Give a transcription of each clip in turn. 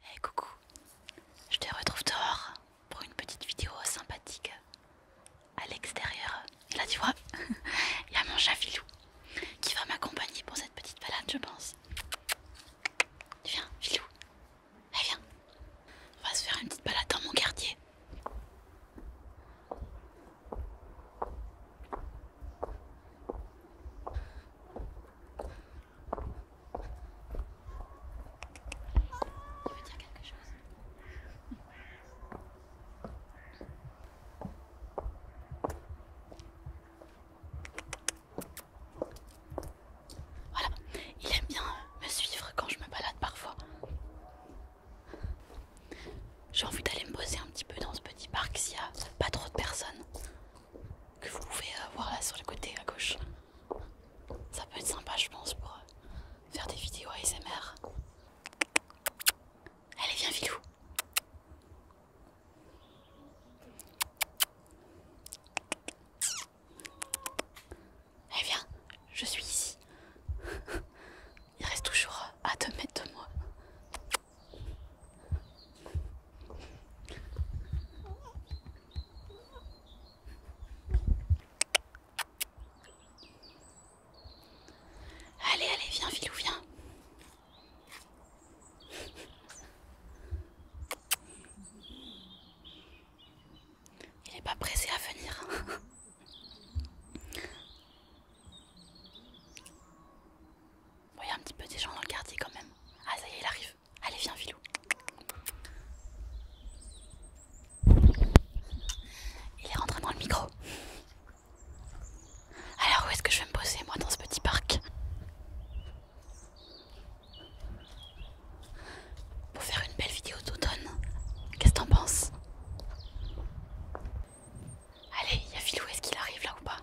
Hey coucou, je te retrouve dehors pour une petite vidéo sympathique à l'extérieur. là tu vois, il y a mon chat Filou qui va m'accompagner pour cette petite balade je pense. Viens Filou, viens, on va se faire une petite balade dans mon quartier. Voilà, il aime bien me suivre quand je me balade parfois. J'ai envie d'aller me poser un petit peu dans ce petit parc s'il n'y a pas trop de personnes. Que vous pouvez euh, voir là sur le côté à gauche. Ça peut être sympa, je pense, pour euh, faire des vidéos ASMR. Allez, viens, vilou Allez, viens, je suis ici. Il reste toujours euh, à 2 mètres de moi. Allez, allez, viens, Filou, viens. Il n'est pas pressé à venir voyez il y a un petit peu des gens dans le quartier quand même. Ah, ça y est, il arrive. Allez, viens, Filou. Il est rentré dans le micro. Alors, où est-ce que je vais me poser, moi, dans ce petit parc Pour faire une belle vidéo d'automne. Qu'est-ce que t'en penses Allez, il y a Filou. est-ce qu'il arrive là ou pas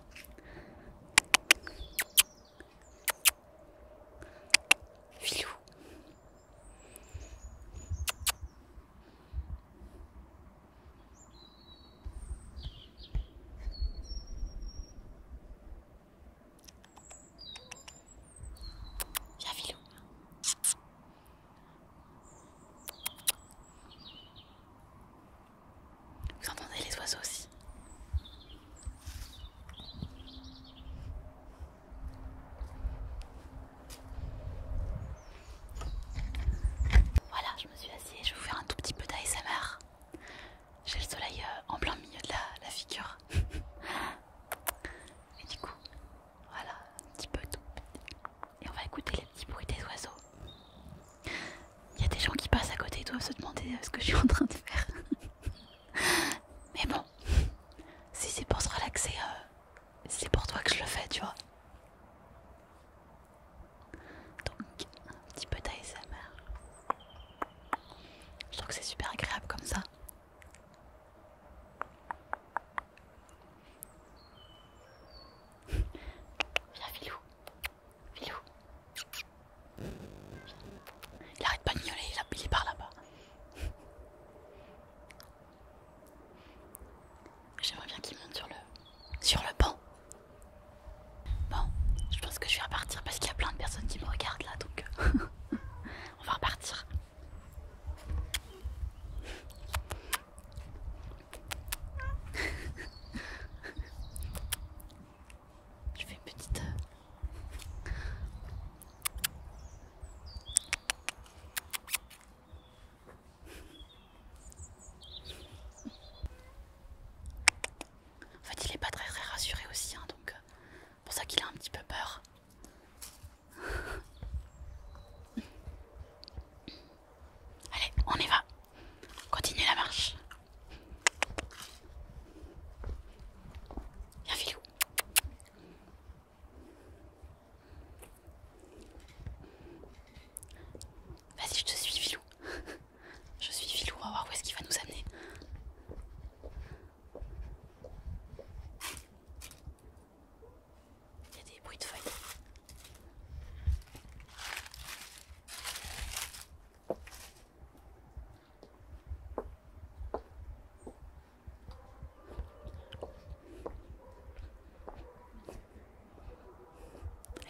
Philou a Filou. Vous entendez les oiseaux aussi Voilà, je me suis assise, je vais vous faire un tout petit peu d'ASMR. J'ai le soleil euh, en plein milieu de la, la figure. Et du coup, voilà, un petit peu tout. Et on va écouter les petits bruits des oiseaux. Il y a des gens qui passent à côté, et doivent se demander euh, ce que je suis en train de faire. Mais bon, si c'est pour se relaxer, euh, c'est pour toi que je le fais, tu vois. Donc, un petit peu d'ASMR. Je trouve que c'est super agréable comme ça. Viens, Filou. Filou. Il arrête pas de miauler, il est par là-bas. J'aimerais bien qu'il monte sur le, sur le banc. Bon, je pense que je vais repartir parce qu'il y a plein de personnes qui me regardent là, donc euh, on va repartir. Je fais une petite. Euh, en fait, il est pas très très rassuré aussi, hein, donc euh, c'est pour ça qu'il a un petit peu peur. Allez, on y va. Continue la marche. Viens, Filou. Vas-y, je te suis, Filou. je suis Filou, on va voir où est-ce qu'il va nous amener. Il y a des bruits de feuilles.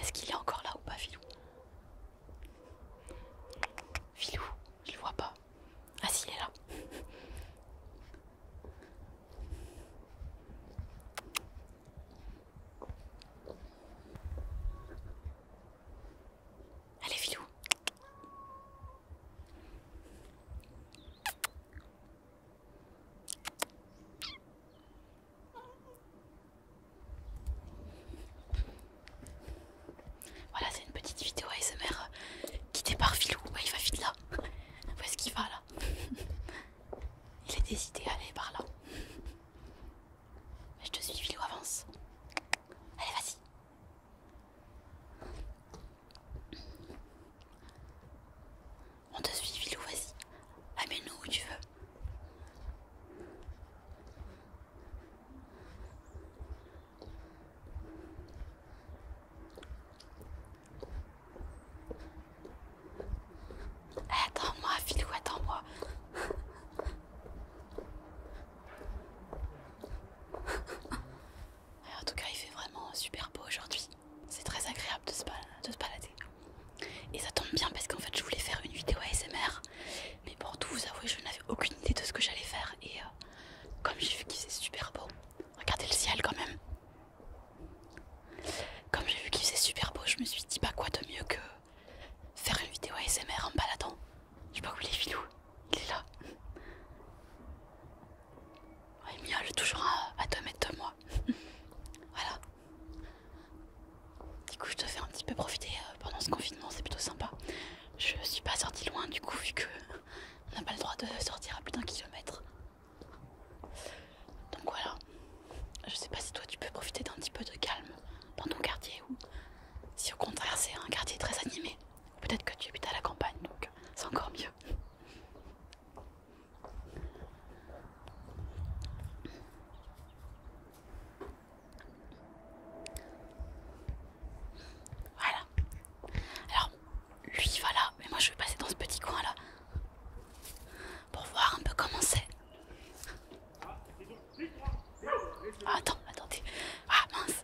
Est-ce qu'il est encore là ou pas, Filou Filou, je le vois pas. Ah si, il est là. Allez, filou. Voilà, c'est une petite vidéo ASMR euh, quittée par Philou. Bah, il va vite là. Où est-ce qu'il va là Il est décidé d'aller par là. je te suis, Philou, avance. Allez, vas-y. On te suit, Philou, vas-y. Amène-nous où tu veux. Eh, attends-moi, Filou, attends-moi. en tout cas, il fait vraiment super beau aujourd'hui. C'est très agréable de se, de se balader. Et ça tombe bien parce qu'en fait, je voulais faire une vidéo ASMR mais pour tout vous avouer, je n'avais aucune idée de ce que j'allais faire. Et euh, comme j'ai vu qu'il faisait super beau, regardez le ciel quand même. Comme j'ai vu qu'il faisait super beau, je me suis dit pas bah, quoi de mieux que faire une vidéo ASMR en me baladant. Je sais pas où il est, Filou. Il est là. Il miaule toujours à, à 2 mètres de moi. voilà. Du coup, je te fais un petit peu profiter euh, pendant ce confinement, c'est plutôt sympa. Je suis pas sortie loin, du coup, vu que on n'a pas le droit de sortir à plus d'un kilomètre. Donc voilà. Je sais pas si toi tu peux profiter d'un petit peu de calme dans ton quartier ou si au contraire c'est un quartier très animé. Peut-être que tu habites à la campagne, donc c'est encore mieux. Voilà. Alors, lui il va là, mais moi je vais passer dans ce petit coin là pour voir un peu comment c'est. Ah, attends, attendez. Ah mince,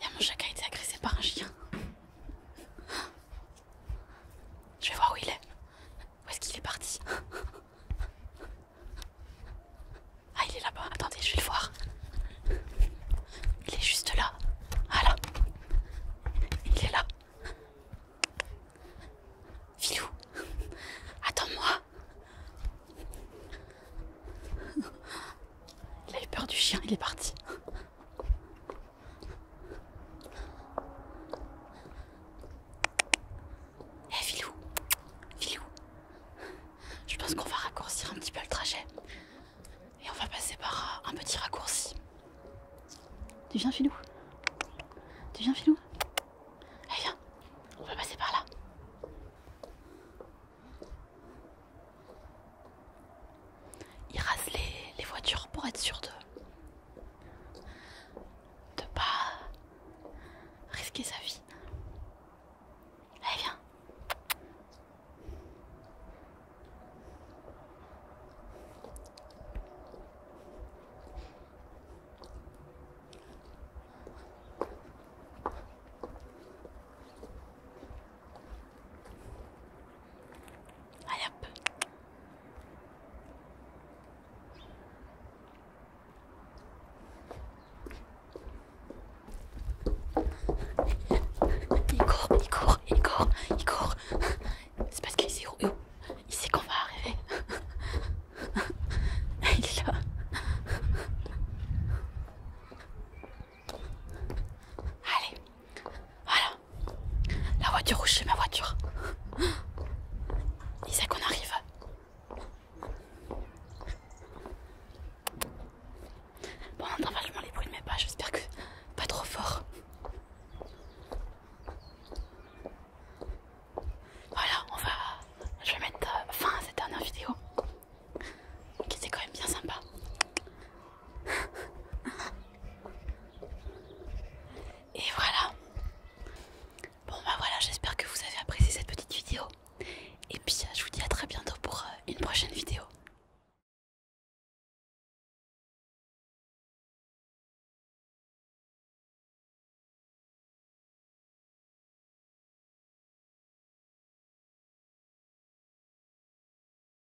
il y a mon chacun qui a été agressé par un chien. Je vais voir où il est. Où est-ce qu'il est parti ah, il est là-bas. Attendez, je vais le voir. Il est juste là. Ah là. Il est là. Filou, attends-moi. Il a eu peur du chien, il est parti. Eh Filou Filou Je pense qu'on va raccourcir un petit peu le trajet. Et on va passer par un petit raccourci. Tu viens Filou Tu viens Filou Eh viens, on va passer par là. Il rase les, voitures pour être sûr de de pas risquer sa vie. Allez, viens. Allez hop, il court, il court, il court, il court. C'est parce qu'il sait où. Il sait qu'on va arriver. Il est là. Allez. Voilà. La voiture rouge, c'est ma voiture. sait qu'on arrive. Bon, on les bruits de mes pas, j'espère que pas trop fort. Voilà, on va. Je vais mettre euh, fin à cette dernière vidéo qui était quand même bien sympa. Et voilà. Bon bah voilà, j'espère que vous avez apprécié cette petite vidéo. Et puis je vous dis à très bientôt pour euh, une prochaine vidéo.